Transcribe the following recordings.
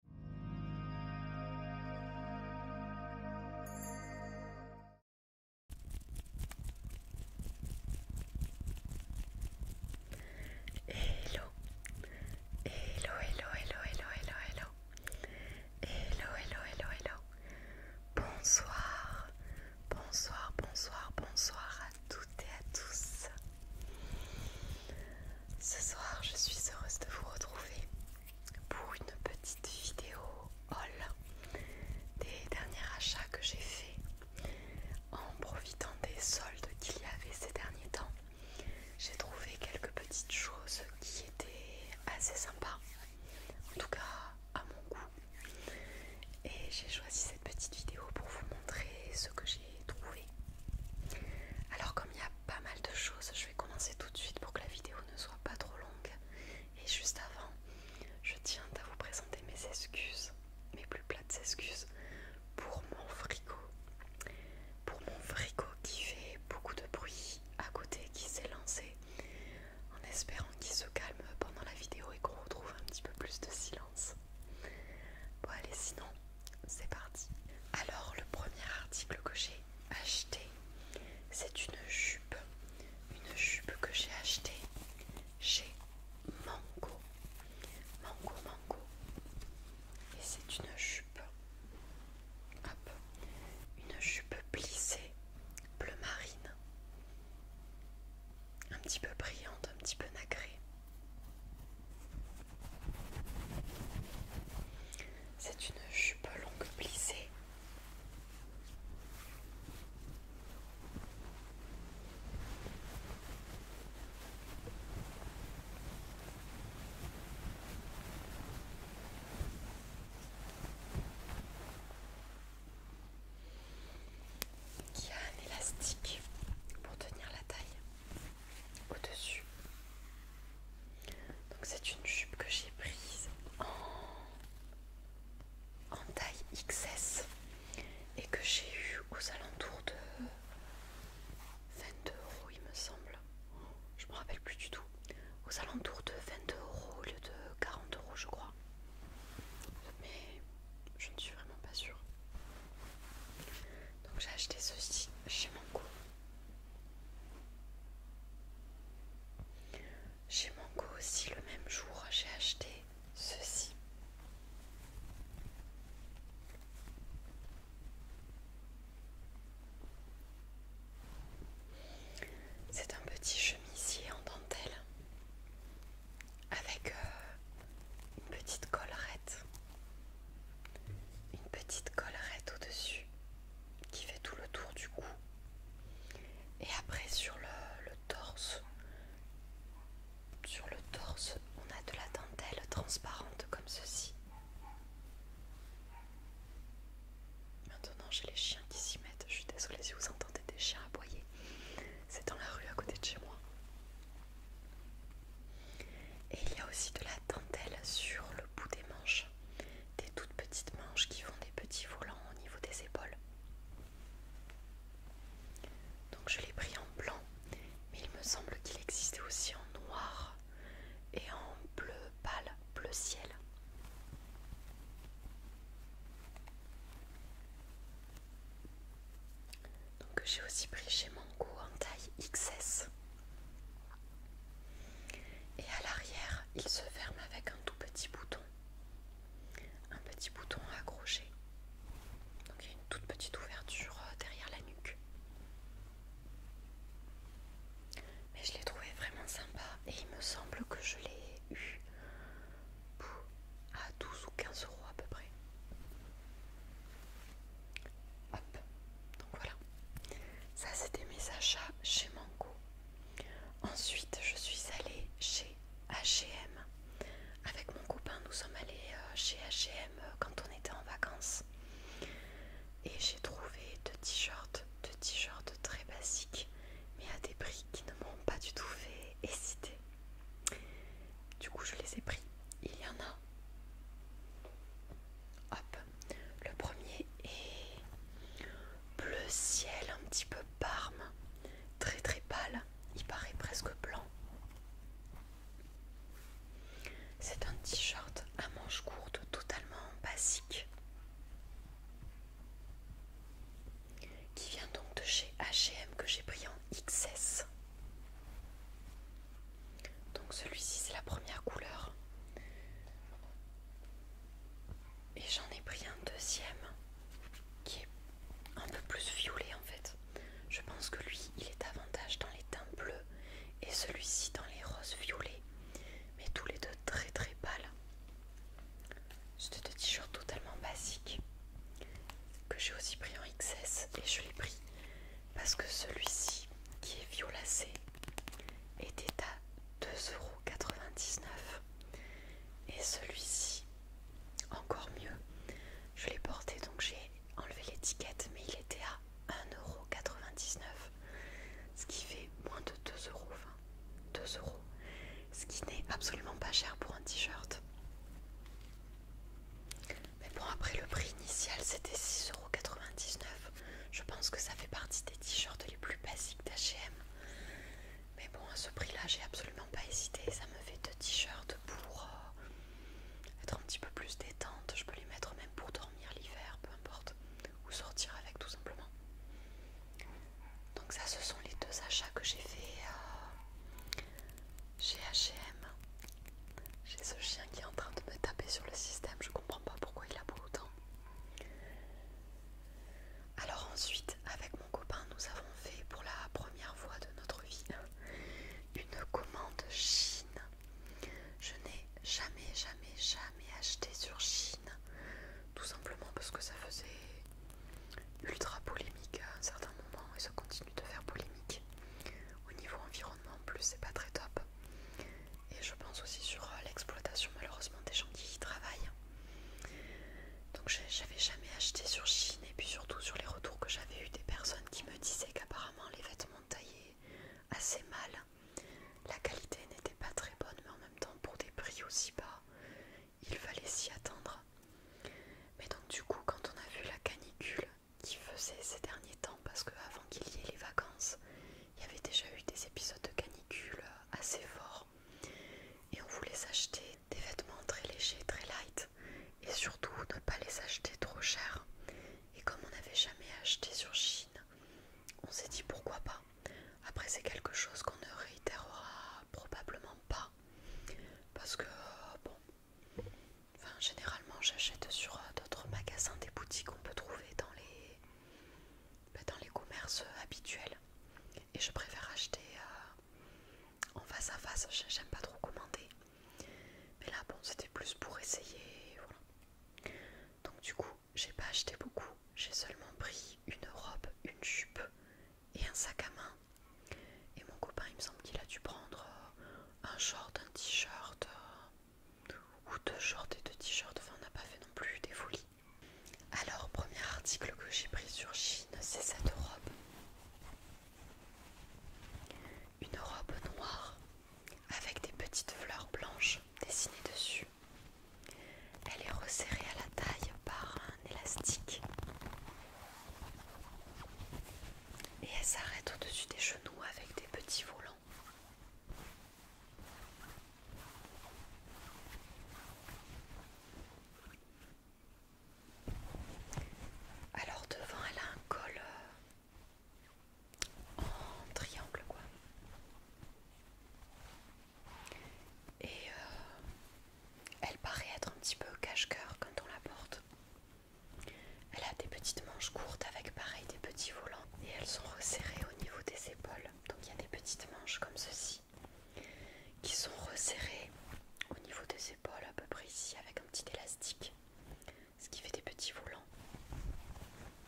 Hello, hello, hello, hello, hello, hello, hello, hello, hello, hello, hello. Bonsoir, bonsoir, bonsoir, bonsoir à toutes et à tous. Ce soir, je suis heureuse de vous retrouver pour une petite vidéo haul des derniers achats que j'ai faits en profitant des soldes qu'il y avait ces derniers temps. J'ai trouvé quelques petites choses qui étaient assez sympas, en tout cas à mon goût. Et j'ai choisi cette petite vidéo pour vous montrer ce que j'ai trouvé. Alors comme il y a pas mal de choses. Je vais commencer tout de suite pour que la vidéo ne soit pas trop longue. Et juste avant, je tiens à vous présenter mes excuses, mes plus plates excuses, pour mon frigo. Pour mon frigo qui fait beaucoup de bruit à côté, qui s'est lancé, en espérant qu'il se calme pendant la vidéo et qu'on retrouve un petit peu plus de silence. Bon allez, sinon, c'est parti. Alors le premier article que j'ai acheté, c'est une jupe. Une jupe que j'ai acheté chez Mango. Mango, Mango. Et c'est une jupe. Hop. Une jupe plissée, bleu marine. Un petit peu brillante, un petit peu nacrée. C'est une jupe longue plissée. Qui a un élastique pour tenir la taille au-dessus. Donc c'est une jupe que j'ai prise en, en taille XS et que j'ai eu aux alentours de 22 euros il me semble. Je me rappelle plus du tout. Aux alentours de 22 euros au lieu de 40 euros je crois. Mais je ne suis vraiment pas sûre. Donc j'ai acheté ceci chez Mango. Chez Mango aussi le même jour j'ai acheté ceci. C'est un petit chemisier en dentelle avec euh, une petite collerette une petite collerette au-dessus qui fait tout le tour du cou. Et après sur le, le torse, sur le torse, on a de la dentelle transparente comme ceci. Maintenant, j'ai les chiens qui s'y mettent. Je suis désolée si vous entendez des chiens aboyer. C'est dans la rue à côté de chez moi. Et il y a aussi de la dentelle sur le bout des manches, des toutes petites manches qui font des petits volants au niveau des épaules. Donc je l'ai pris en blanc, mais il me semble qu'il existait aussi en noir et en bleu pâle, bleu ciel. Donc j'ai aussi pris chez Mango en taille XS. Et à l'arrière, il se ferme avec un tout petit bouton. Un petit bouton accroché. Donc il y a une toute petite ouverture euh, derrière la nuque. Mais je l'ai trouvé vraiment sympa et il me semble que je l'ai eu à 12 ou 15 euros à peu près. Hop, donc voilà. Ça, c'était mes achats chez Mango. Ensuite, je suis allée chez HM. Avec mon copain, nous sommes allés euh, chez HM quand on était en vacances. Et j'ai trouvé deux t-shirts, deux t-shirts très basiques, mais à des prix qui ne m'ont pas du tout fait exciter. Du coup, je les ai pris. Il y en a. Hop. Le premier est bleu ciel, un petit peu parme. Très très pâle. Il paraît presque blanc. C'est un t-shirt à manches courtes totalement basique qui vient donc de chez H&M que j'ai pris en XS donc celui-ci c'est la première couleur. Et j'en ai pris un deuxième qui est un peu plus violet en fait. Je pense que lui il est davantage dans les teintes bleus et celui-ci dans les roses violets. Mais tous les deux très très pâles. C'était des t-shirt totalement basique que j'ai aussi pris en XS et je l'ai pris parce que celui-ci qui est violacé était à 2,99€ et celui-ci encore mieux je l'ai porté donc j'ai enlevé l'étiquette mais il était à 1,99€ ce qui fait moins de 2,20€ ce qui n'est absolument pas cher pour un t-shirt mais bon, après le prix initial c'était 6,99€. Je pense que ça fait partie des t-shirts les plus basiques d'HM. Mais bon, à ce prix-là, j'ai absolument pas hésité. Ça me fait deux t-shirts pour euh, être un petit peu plus détente. Je peux les mettre même pour dormir l'hiver, peu importe. Ou sortir avec tout simplement. Donc ça, ce sont les deux achats que j'ai fait à. Euh, chez HM. J'ai ce chien qui est en train de me taper sur le système, je comprends pas pourquoi il a beau autant. Alors ensuite, avec mon copain, nous avons fait pour la première fois de notre vie une commande Chine. Je n'ai jamais, jamais, jamais acheté sur Chine, tout simplement parce que ça faisait ultra polémique à un certain moment et se continue de faire polémique. Au niveau environnement, en plus, c'est pas très top. Et je pense aussi sur euh, l'exploitation, malheureusement, des gens qui y travaillent. Donc, j'avais jamais acheté sur Chine, et puis surtout sur les retours que j'avais eu des personnes qui me disaient qu'apparemment les vêtements taillés assez mal, la qualité n'était pas très bonne, mais en même temps, pour des prix aussi bas, il fallait s'y attendre mais donc du coup quand on a vu la canicule qui faisait ces derniers temps, parce qu'avant qu'il y ait les vacances, il y avait déjà eu des épisodes de canicule assez forts. Et on voulait s'acheter des vêtements très légers, très light, et surtout ne pas les acheter trop cher. Et comme on n'avait jamais acheté sur Chine, on s'est dit pourquoi pas. Après c'est quelque chose qu'on ne réitérera probablement pas parce que euh, bon généralement j'achète sur euh, d'autres magasins des boutiques qu'on peut trouver dans les bah, commerces euh, habituels et je préfère acheter en face à face j'aime pas trop commander mais là bon c'était plus pour essayer voilà donc du coup j'ai pas acheté beaucoup j'ai seulement pris une robe une jupe et un sac à main. Et mon copain, il me semble qu'il a dû prendre euh, un short, un t-shirt, euh, ou deux shorts et deux t-shirts. Enfin, on n'a pas fait non plus des folies. Alors, premier article que j'ai pris sur Chine, c'est cette robe. Une robe noire avec des petites fleurs blanches dessinées dessus. Elle est resserrée à la taille par élastique et elle s'arrête au-dessus des genoux avec des petits volants. Alors devant elle a un col euh, en triangle quoi. Et euh, elle paraît être un petit peu cache-coeur quand on la porte. Elle a des petites manches courtes avec pareil des petits volants et elles sont resserrées au niveau des épaules. Donc il y a des petites manches comme ceci qui sont resserrées au niveau des épaules à peu près ici avec un petit élastique, ce qui fait des petits volants.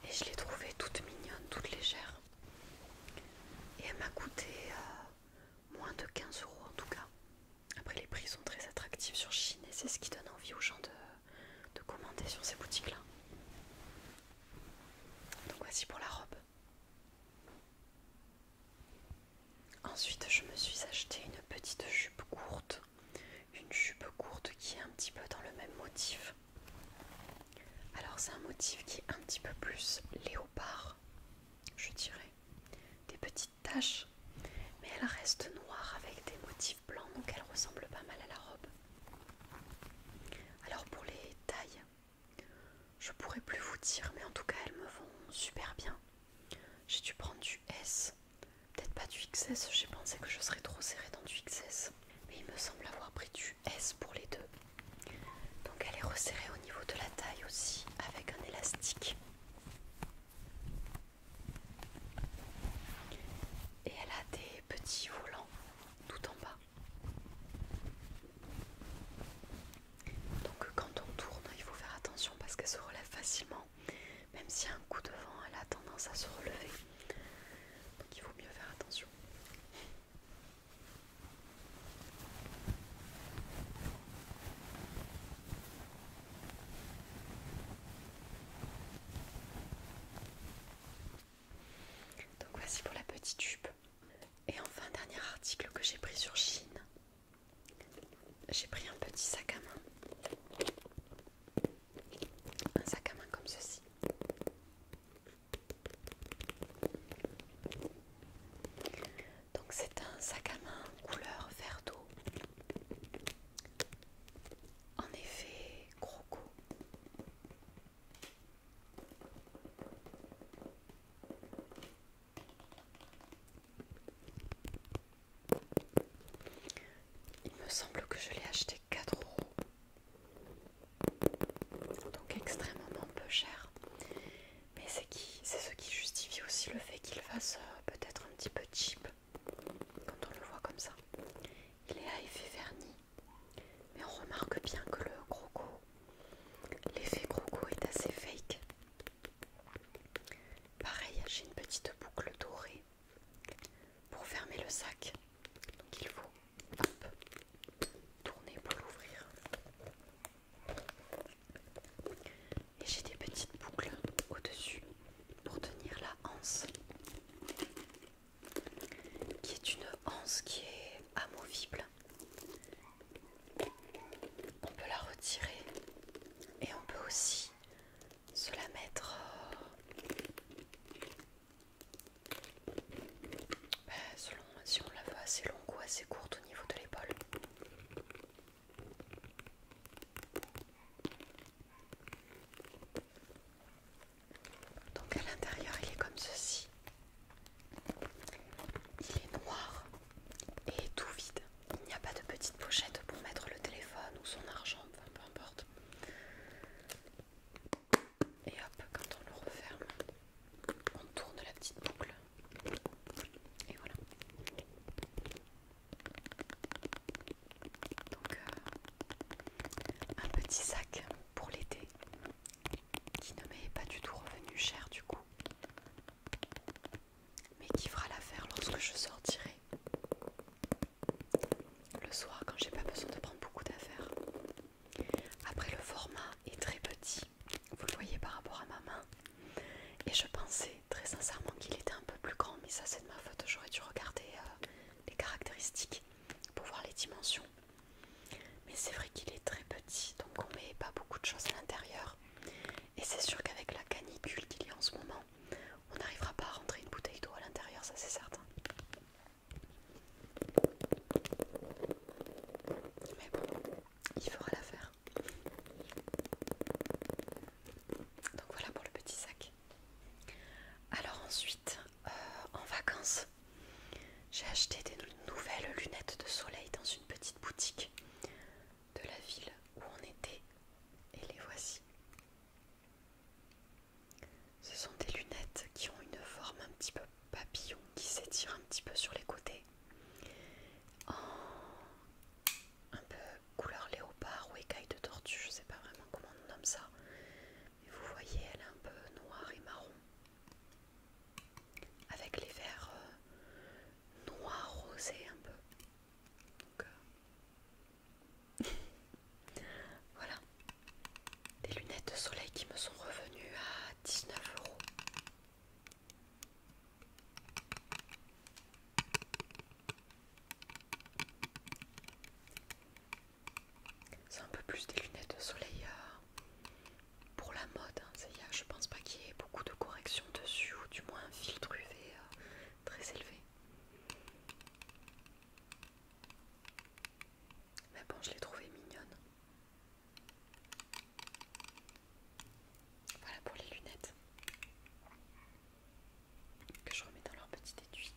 Et je l'ai trouvée toute mignonne, toute légère. Et elle m'a coûté euh, moins de 15 euros en tout cas. Après les prix sont très attractifs sur Chine et c'est ce qui donne envie aux gens de, de commander sur ces boutiques là. Donc voici pour la robe. Ensuite je me suis acheté une petite jupe courte. Une jupe courte qui est un petit peu dans le même motif. Alors c'est un motif qui est un petit peu plus léopard je dirais, des petites taches, mais elle reste noire avec des motifs blancs, donc elle ressemble pas mal à la robe. Alors pour les tailles, je pourrais plus vous dire, mais en tout cas elles me vont super bien. J'ai dû prendre du S, peut-être pas du XS, j'ai pensé que je serais trop serrée dans du XS, mais il me semble avoir pris du S pour les deux. Donc elle est resserrée au niveau de la taille aussi avec un élastique. Et elle a des petits volants tout en bas. Donc quand on tourne, il faut faire attention parce qu'elle se relève facilement. Même si un coup de vent, elle a tendance à se relever. Donc il vaut mieux faire attention. Donc voici pour la petite jupe. Et enfin, dernier article que j'ai pris sur Chine. J'ai pris un petit sac à main. Un sac à main comme ceci. Donc c'est un sac à main couleur vert d'eau. En effet, croco. Il me semble que je l'ai acheté 4 euros donc extrêmement peu cher. Mais c'est ce qui justifie aussi le fait qu'il fasse euh, peut-être un petit peu cheap quand on le voit comme ça. Il est à effet vernis, mais on remarque bien que le croco, l'effet croco est assez fake. Pareil, j'ai une petite boucle dorée pour fermer le sac. Donc il faut Tourner pour l'ouvrir. Et j'ai des petites boucles au-dessus pour tenir la hanse. qui est une hanse qui est amovible. On peut la retirer et on peut aussi se la mettre euh, bah, selon si on la veut assez longue ou assez courte au niveau de l'épaule. Donc à l'intérieur il est comme ceci. Il est noir et tout vide. Il n'y a pas de petite pochette pour mettre le téléphone ou son argent, enfin peu importe. Et hop, quand on le referme, on tourne la petite boucle et voilà. Donc euh, un petit sac pour l'été qui ne m'est pas du tout revenu cher du coup mais qui fera l'affaire lorsque je sortirai le soir quand j'ai pas besoin de prendre beaucoup d'affaires après, le format est très petit, vous le voyez par rapport à ma main. Et je pensais très sincèrement qu'il était un peu plus grand, mais ça c'est de ma faute, j'aurais dû regarder euh, les caractéristiques pour voir les dimensions. Mais c'est vrai qu'il est très petit, donc on met pas beaucoup de choses à l'intérieur. Et c'est sûr qu'avec la canicule qu'il y a en ce moment, on n'arrivera pas à rentrer une bouteille d'eau à l'intérieur, ça c'est certain. Mais bon, il fera l'affaire. Donc voilà pour le petit sac. Alors ensuite, euh, en vacances, j'ai acheté des nouvelles lunettes de soleil dans une petite boutique de la ville où on était. Et les voici. Ce sont des lunettes qui ont une forme un petit peu papillon qui s'étire un petit peu sur les côtés. En un peu couleur léopard ou écaille de tortue, je sais pas vraiment comment on nomme ça. Mais vous voyez, elle est un peu noire et marron. Avec les verres noir, euh, noirs rosés un peu. Donc, euh, voilà. Des lunettes de soleil qui me sont revenues à 19 euros. C'est un peu plus des lunettes de soleil euh, pour la mode. Je hein. Y je pense pas qu'il y ait beaucoup de corrections dessus, ou du moins un filtre UV euh, très élevé. Mais bon, je l'ai trouvée mignonne. Voilà pour les lunettes que je remets dans leur petit étui.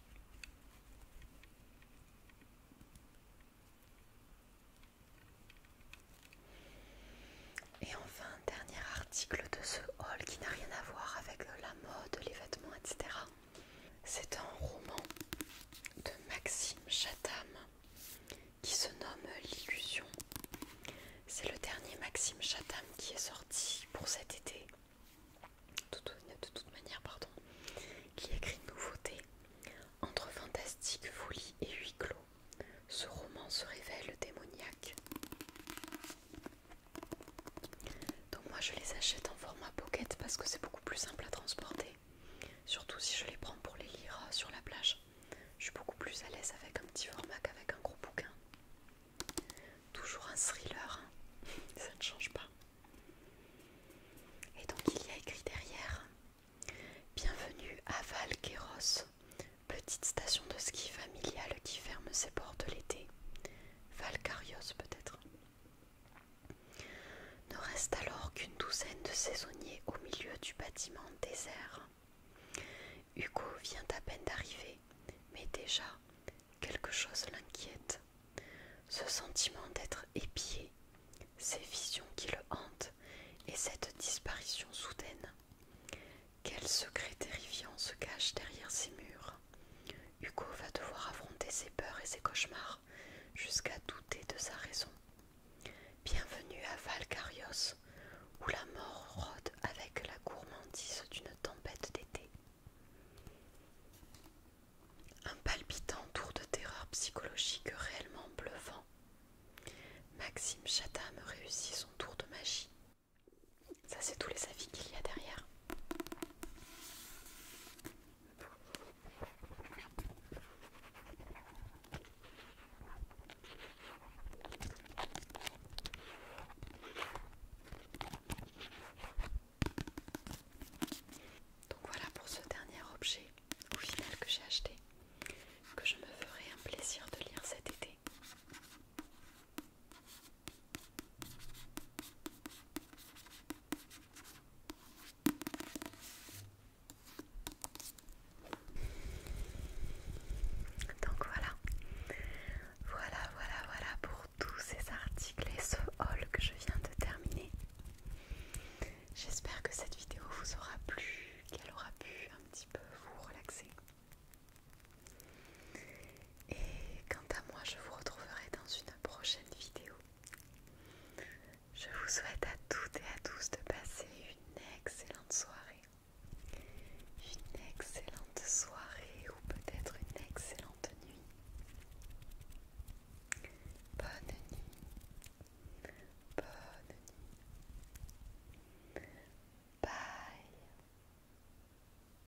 Et enfin, un dernier article de ce haul qui n'a rien à voir avec la mode, les vêtements, etc. C'est un roman de Maxime Chatham qui se nomme L'illusion. C'est le dernier Maxime Chatham qui est sorti pour cet été. De toute manière, pardon, qui écrit une nouveauté. Entre fantastique, folie et huis clos, ce roman se révèle démoniaque. Donc moi je les achète en format pocket parce que c'est beaucoup plus simple à transporter. Surtout si je les prends pour les lire euh, sur la plage. Je suis beaucoup plus à l'aise avec un petit format qu'avec un gros bouquin. Toujours un thriller, hein. ça ne change pas. Et donc il y a écrit derrière Bienvenue à Valqueros petite station de ski familiale qui ferme ses portes l'été. Valcarios peut-être. Ne reste alors qu'une douzaine de saisonniers au milieu du bâtiment désert. Hugo vient à peine d'arriver, mais déjà quelque chose l'inquiète. Ce sentiment d'être épié, ces visions qui le hantent et cette disparition soudaine. Quel secret terrifiant se cache derrière ces murs Hugo va devoir affronter ses peurs et ses cauchemars jusqu'à douter de sa raison. Bienvenue à Valcarios, où la mort rôde avec la gourmandise d'une tempête d'été. Un palpitant tour de terreur psychologique réellement bluffant. Maxime Chatham réussit son tour de magie. Ça c'est tous les avis qu'il y a derrière. Donc voilà pour ce dernier objet au final que j'ai acheté, que je me ferai un plaisir de lire cet été. Donc voilà, voilà, voilà, voilà pour tous ces articles et ce haul que je viens de terminer. J'espère que cette vidéo vous aura plu, qu'elle aura pu un petit peu vous relaxer. Et quant à moi, je vous retrouverai dans une prochaine vidéo. Je vous souhaite à toutes et à tous de passer une excellente soirée. Une excellente soirée ou peut-être une excellente nuit. Bonne nuit. Bonne nuit. Bye.